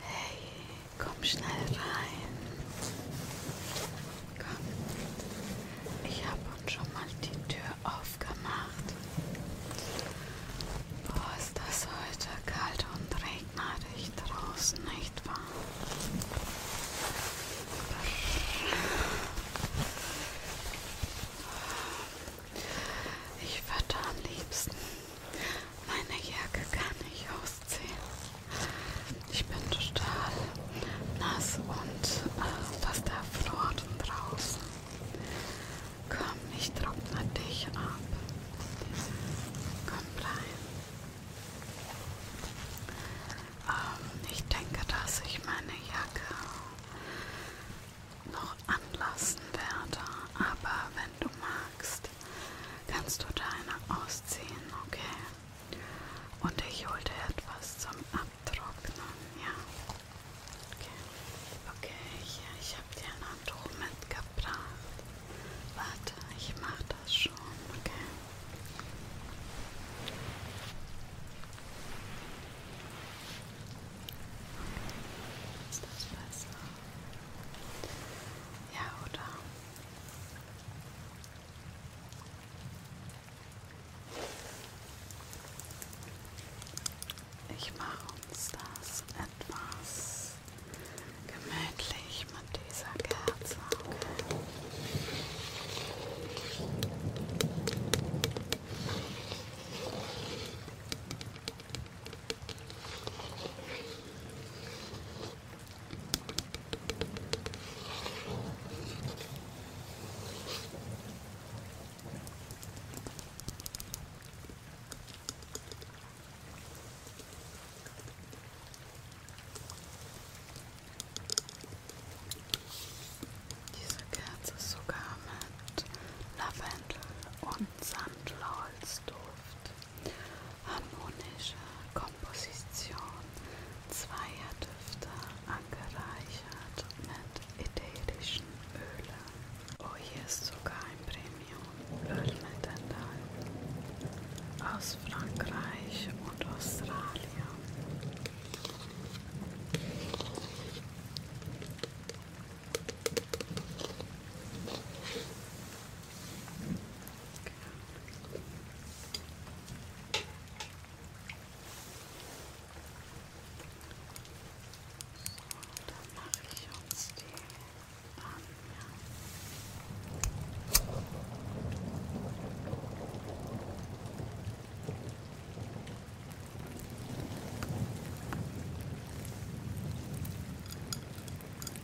Hey, komm schnell rein. Komm. Ich habe uns schon mal die Tür aufgemacht. Boah, ist das heute kalt und regnerisch draußen, nicht wahr? Ich würde am liebsten meine Jacke kann ich ausziehen. Ich bin total nass und äh, fast erfroren draußen. Komm, ich trockne dich ab. Komm rein. Ähm, ich denke, dass ich meine Jacke noch anlassen werde, aber wenn du magst, kannst du deine ausziehen, okay? Und ich hol dir etwas zum Abtrocknen, ja? Okay, okay, hier, ich habe dir ein Handtuch mitgebracht. Warte, ich mache das schon, okay? Okay, ist das besser? Ja, oder? Ich mache uns das etwas gemütlich mit dieser Kerze. Okay? Diese Kerze ist sogar mit Lavendel und Sandlauchsduft harmonische Komposition zweier Düfte angereichert mit ätherischen Ölen. Oh, hier ist sogar ein Premium-Öl mit enthalten. Aus Frankreich und Australien dann mache ich uns die an.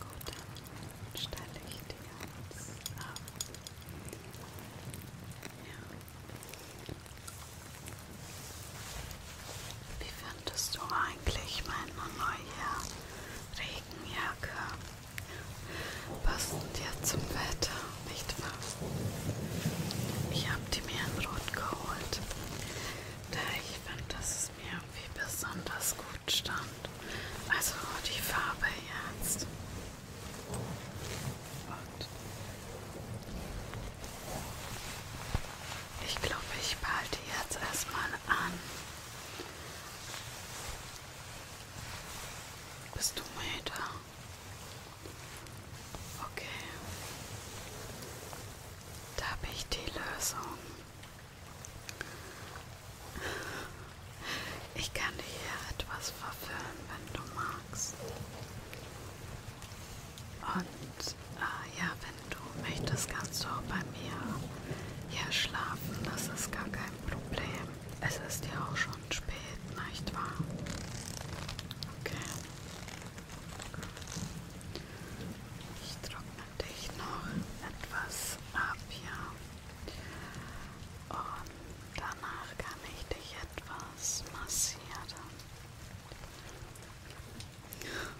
Gut, dann stelle ich die jetzt ab. Ja. Wie fandest du eigentlich meine neue Regenjacke? Passend ja zum Wetter, nicht wahr? Ich habe die mir in Rot geholt, da ich fand, dass es mir irgendwie besonders gut stand. Also die Farbe jetzt. Und ich glaube, ich behalte jetzt erstmal an. Bist du Meter? Okay. Da habe ich die Lösung. Ich kann dir hier etwas verfüllen, wenn du magst. Und äh, ja, wenn du möchtest, kannst du auch bei mir hier schlafen. Das ist gar kein Problem. Es ist ja auch schon spät, nicht wahr? Okay. Ich trockne dich noch etwas ab hier. Und danach kann ich dich etwas massieren. Gut.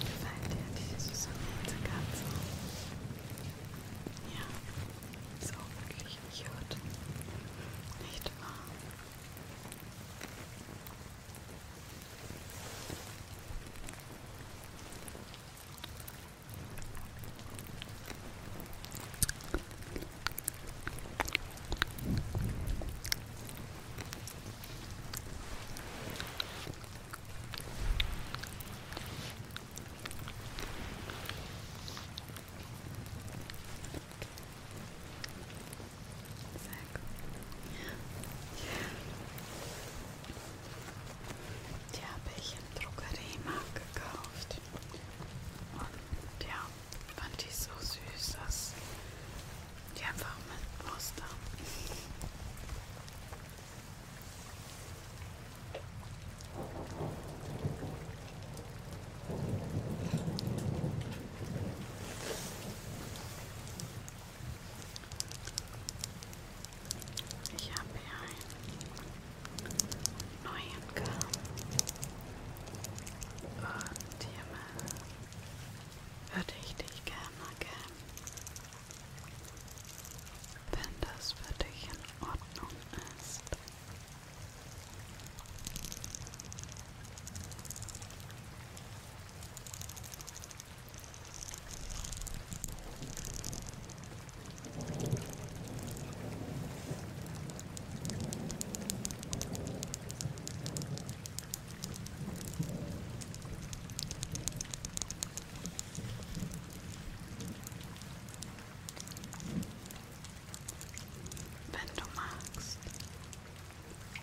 Gefällt dir diese süße Katze? Ja, so wirklich cute. Nicht wahr? Die habe ich im Drogeriemarkt gekauft. Und ja, Fand ich so süß, dass die einfach mit Wurst haben. Ich habe hier ein neuen kam. Und hiermit würde ich dich gerne kennen. Wenn das für dich in Ordnung ist. Wenn du magst,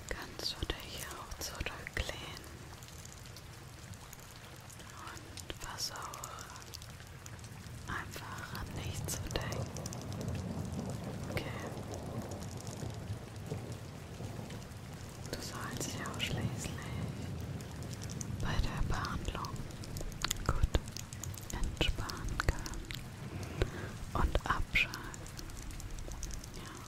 kannst du dich auch zurücklehnen und versuche Einfach an nichts zu denken. Okay. Du sollst ja auch schließlich bei der Behandlung gut entspannen können und abschalten. Ja. Okay.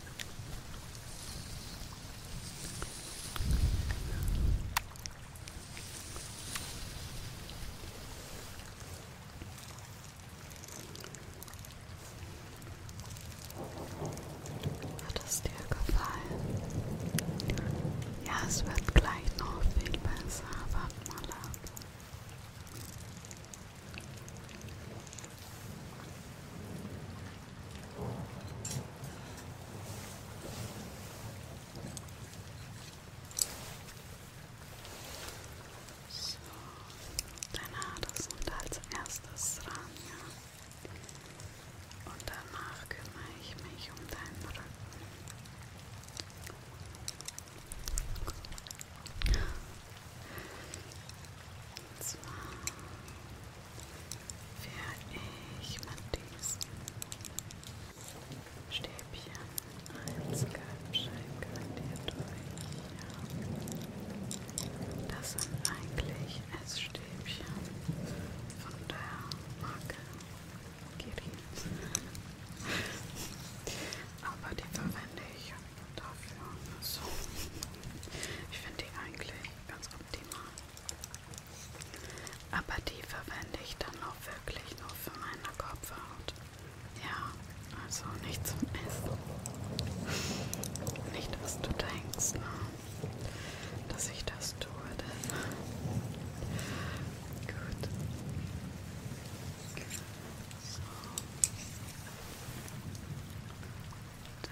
Hat es dir gefallen? Ja, es wird gleich noch viel besser. Warte mal ab. So, dein Haar, das und als erstes dran, ja. Und danach kümmere ich mich um deinen Rücken. Und zwar werde ich mit diesen Stäbchen als Kalbscheinkandier durch. Das sind eigentlich Essstäbchen von der Marke Kirin. Aber die verwende ich dafür so. Ich finde die eigentlich ganz optimal. Aber die verwende ich dann auch wirklich nur für meine Kopfhaut. Ja, also nicht zum Essen. Nicht, was du denkst, ne? dass ich das tue. Denn Gut. So. Dann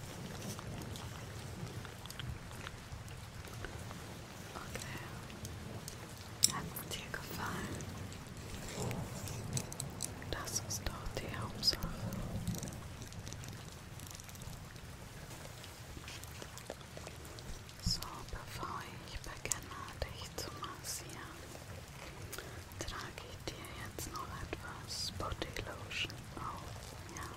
Okay. Hat es dir gefallen? Das ist doch die Hauptsache. So, bevor ich beginne, dich zu massieren, trage ich dir jetzt noch etwas Body Lotion auf. Ja.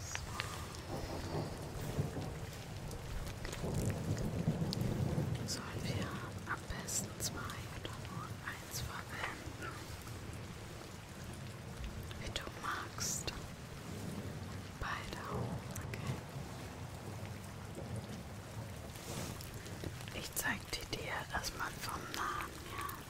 So. Sollen wir am besten zwei oder nur eins verwenden? Wie du magst. Beide. Okay. Ich zeig dir, dass man vom Namen her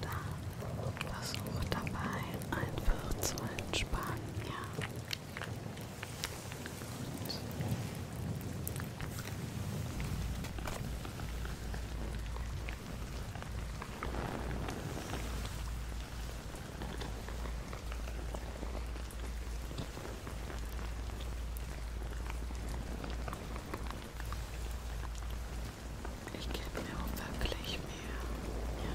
Dann versuche dabei einfach zu entspannen, ja. Gut. Gut. Ich gebe mir auch wirklich mehr. Ja.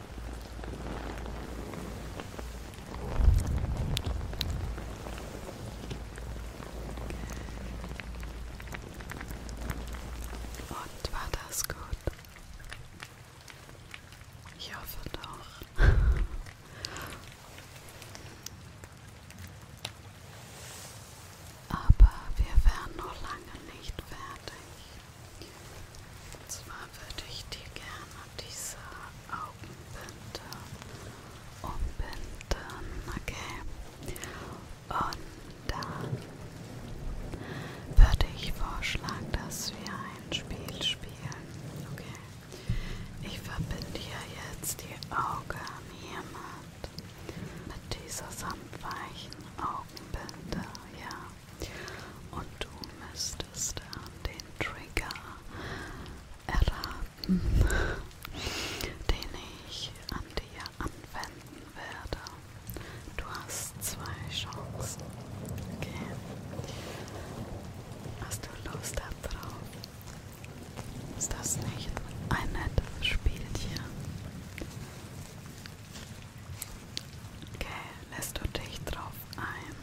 Und war das gut? Ich hoffe doch. Aber wir wären noch lange nicht fertig. Und zwar würde ich dir gerne diese Augenbinde umbinden, okay? Und dann würde ich vorschlagen, dass wir ein Spiel spielen, okay? Ich verbinde hier jetzt die Augen hiermit mit dieser samtweichen Augenbinde, ja. Und du müsstest dann den Trigger erraten, den ich an dir anwenden werde. Du hast zwei Chancen. Okay. Hast du Lust darauf? Ist das nicht ein nettes Spielchen? Okay, lässt du dich drauf ein?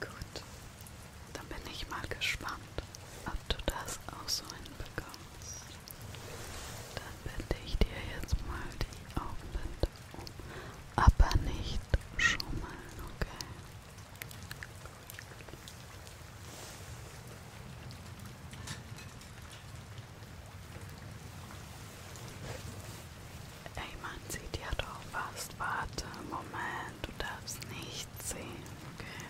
Gut, dann bin ich mal gespannt, ob du das auch so hinbekommst. Dann wende ich dir jetzt mal die Augenlinde um, aber nicht schummeln, okay? Ey, man sieht ja doch was. Warte, Moment, du darfst nichts sehen, okay?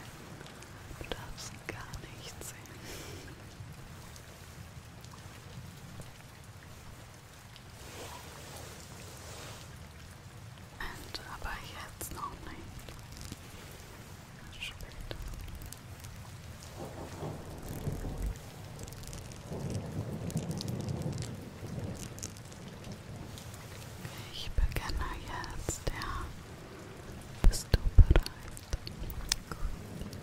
Du darfst gar nichts sehen. Und, aber jetzt noch nicht. Später. Ich beginne jetzt, ja. Bist du bereit? Gut.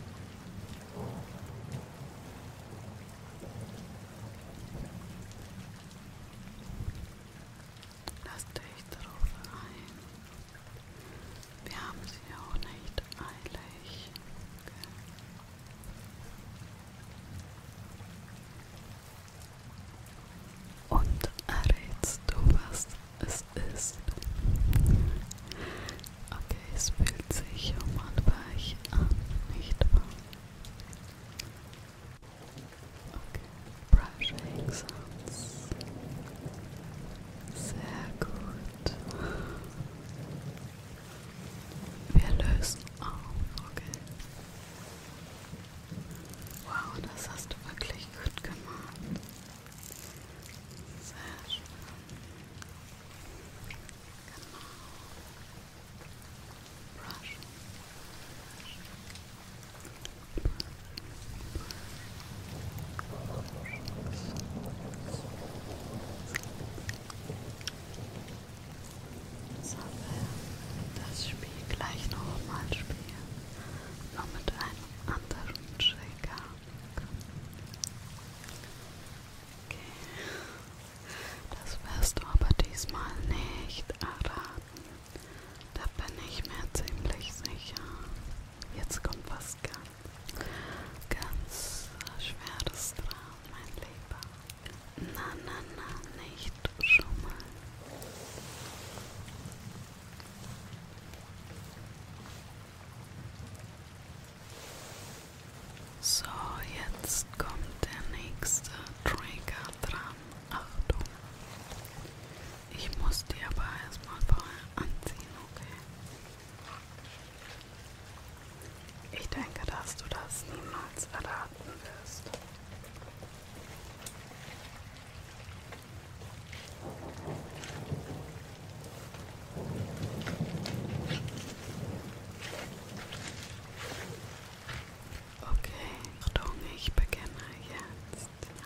Lass dich darauf ein. Wir haben sie auch nicht eilig. Okay. Und errätst du, was es ist? Okay, es fühlt sich um und weich an, nicht wahr? Okay, brushing sounds. Sehr gut. Wir lösen auf, okay. Wow, das hast du wirklich gut gemacht. Sehr schön. Genau. Brush. Brush. Brush. Brush. Sollen wir das Spiel gleich nochmal spielen? Nur mit einem anderen Trigger. Okay. Das wirst du aber diesmal nicht erraten. Da bin ich mir ziemlich sicher. Jetzt kommt was ganz, ganz Schweres dran mein Lieber. Na, na, na, nicht schon mal. So, jetzt kommt der nächste Trigger dran. Achtung. Ich muss die aber erstmal vorher anziehen, okay? Ich denke, dass du das niemals erraten wirst. Okay, Achtung, ich beginne jetzt. Ja.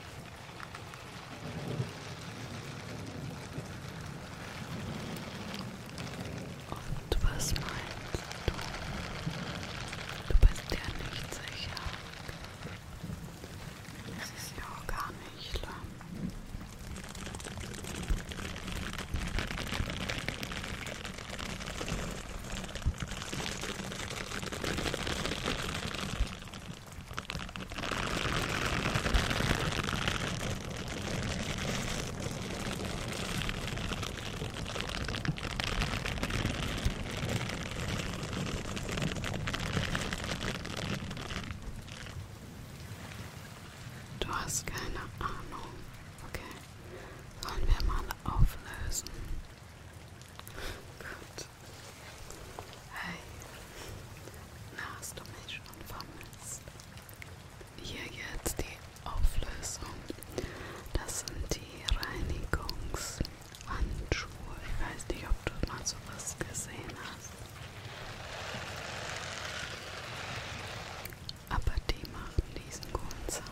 Und was meinst du? Du bist dir nicht sicher. Es ist ja auch gar nicht schlimm. Du hast keine Ahnung. Okay. Sollen wir mal auflösen? Gut. Hey, na hast du mich schon vermisst? Hier jetzt die Auflösung. Das sind die Reinigungshandschuhe. Ich weiß nicht, ob du mal sowas gesehen hast. Aber die machen diesen guten Sound.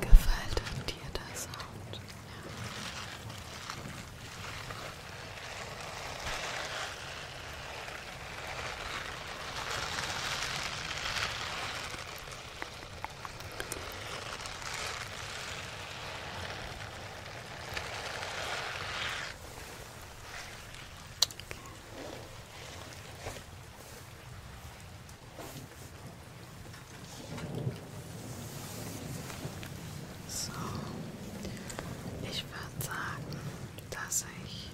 Gefällt dir der Sound? Ja. So, ich würde sagen, dass ich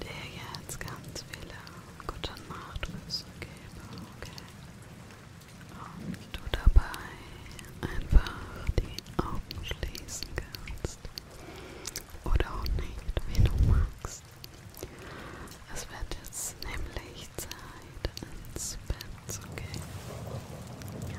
dir jetzt ganz viele gute Nachtgrüße gebe, okay? Und du dabei einfach die Augen schließen kannst. Oder auch nicht, wie du magst. Es wird jetzt nämlich Zeit, ins Bett zu gehen. Ja.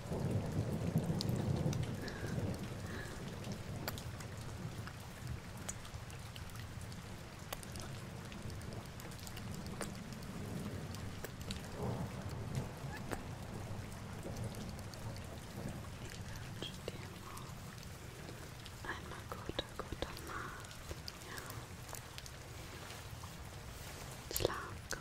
Einmal gute, gute Nacht. Ja. Schlaf gut.